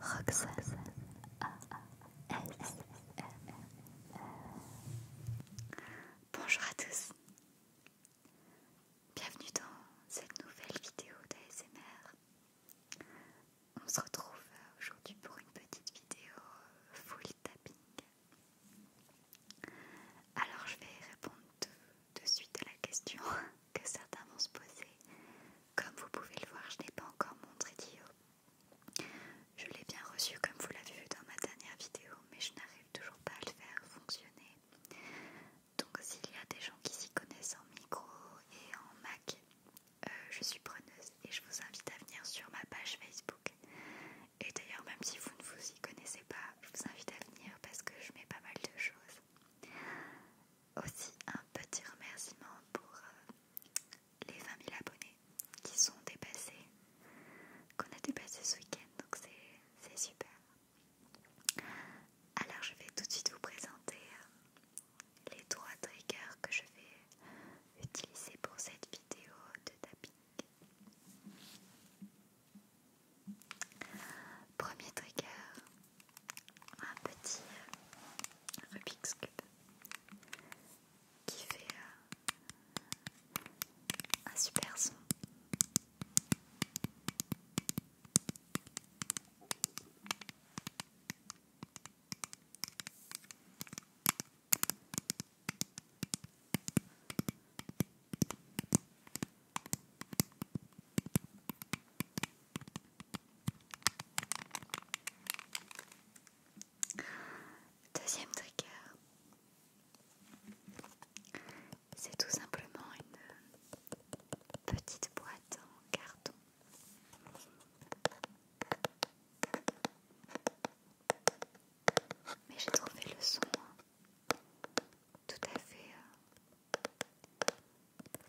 Roxas Bonjour à tous, bienvenue dans cette nouvelle vidéo d'ASMR. On se retrouve aujourd'hui pour une petite vidéo euh, full tapping. Alors je vais répondre de suite à la question que certains vont se poser. Comme vous pouvez le voir, je n'ai pas encore montré d'IO. Je l'ai bien reçu comme vous l'avez vu dans ma dernière vidéo, mais je n'arrive toujours pas à le faire fonctionner. Donc s'il y a des gens qui s'y connaissent en micro et en Mac, euh, je suis preneuse et je vous invite à venir sur ma page Facebook. Et d'ailleurs, même si vous ne vous y connaissez pas, je vous invite à venir parce que je mets pas mal de choses aussi un petit remerciement pour euh, les 20 000 abonnés qui sont dépassés, qu'on a dépassé ce week-end, donc c'est super. Alors je vais tout de suite vous présenter euh, les trois triggers que je vais utiliser pour cette vidéo de tapping. Premier trigger, un petit euh, Rubik's Cube qui fait euh, un super son. Deuxième trigger, c'est tout simplement une petite boîte en carton. Mais j'ai trouvé le son hein, tout à fait euh,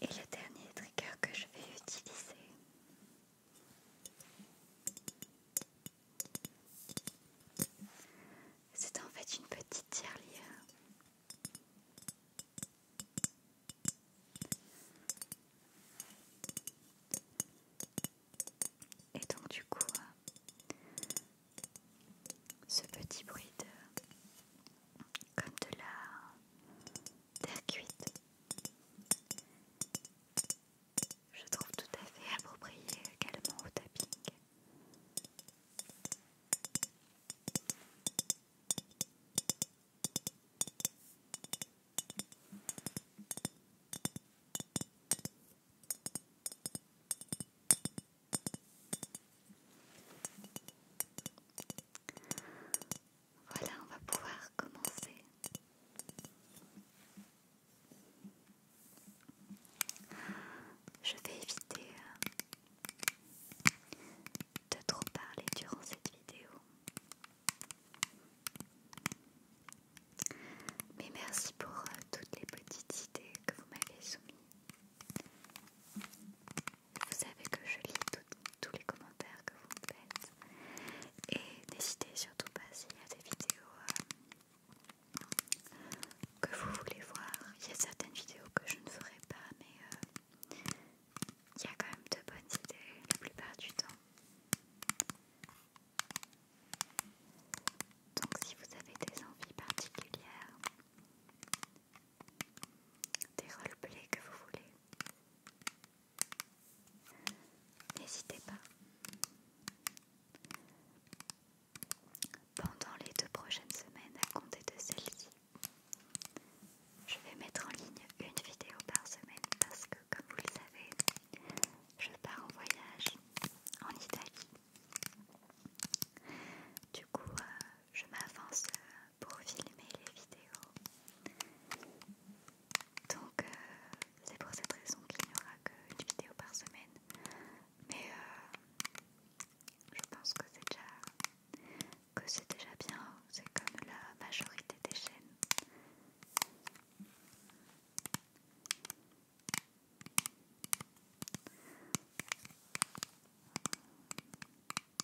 Et le dernier trigger que je vais utiliser c'est en fait une petite tirelire et donc du coup euh, ce petit bruit de comme de la terre cuite. Je trouve tout à fait approprié également au tapping. Voilà, on va pouvoir commencer. Je vais éviter euh, de trop parler durant cette vidéo. Mais merci pour euh, toutes les petites idées que vous m'avez soumises. Vous savez que je lis tous les commentaires que vous me faites. Et n'hésitez surtout pas s'il y a des vidéos euh, que vous voulez voir. Il y a certaines vidéos que je ne ferai pas, mais euh, il y a quand même de bonnes idées la plupart du temps. Donc si vous avez des envies particulières, des roleplays que vous voulez. N'hésitez pas. Pendant les deux prochaines semaines, à compter de celle-ci, je vais mettre en ligne une vidéo par semaine parce que, comme vous le savez, je pars en voyage en Italie. Du coup, euh, je m'avance pour filmer les vidéos. Donc euh, c'est pour cette raison qu'il n'y aura qu'une vidéo par semaine. Mais euh, je pense que c'est déjà, que c'est déjà bien. C'est comme la majorité des chaînes.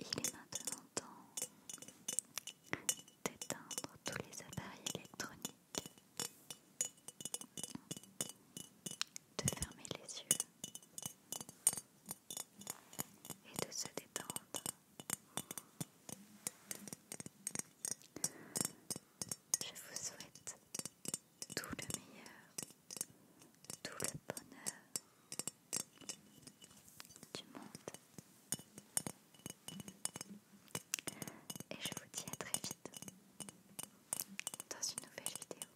Il est maintenant temps d'éteindre tous les appareils électroniques, de fermer les yeux et de se détendre. Je vous souhaite tout le meilleur, tout le bonheur du monde. Et je vous dis à très vite dans une nouvelle vidéo.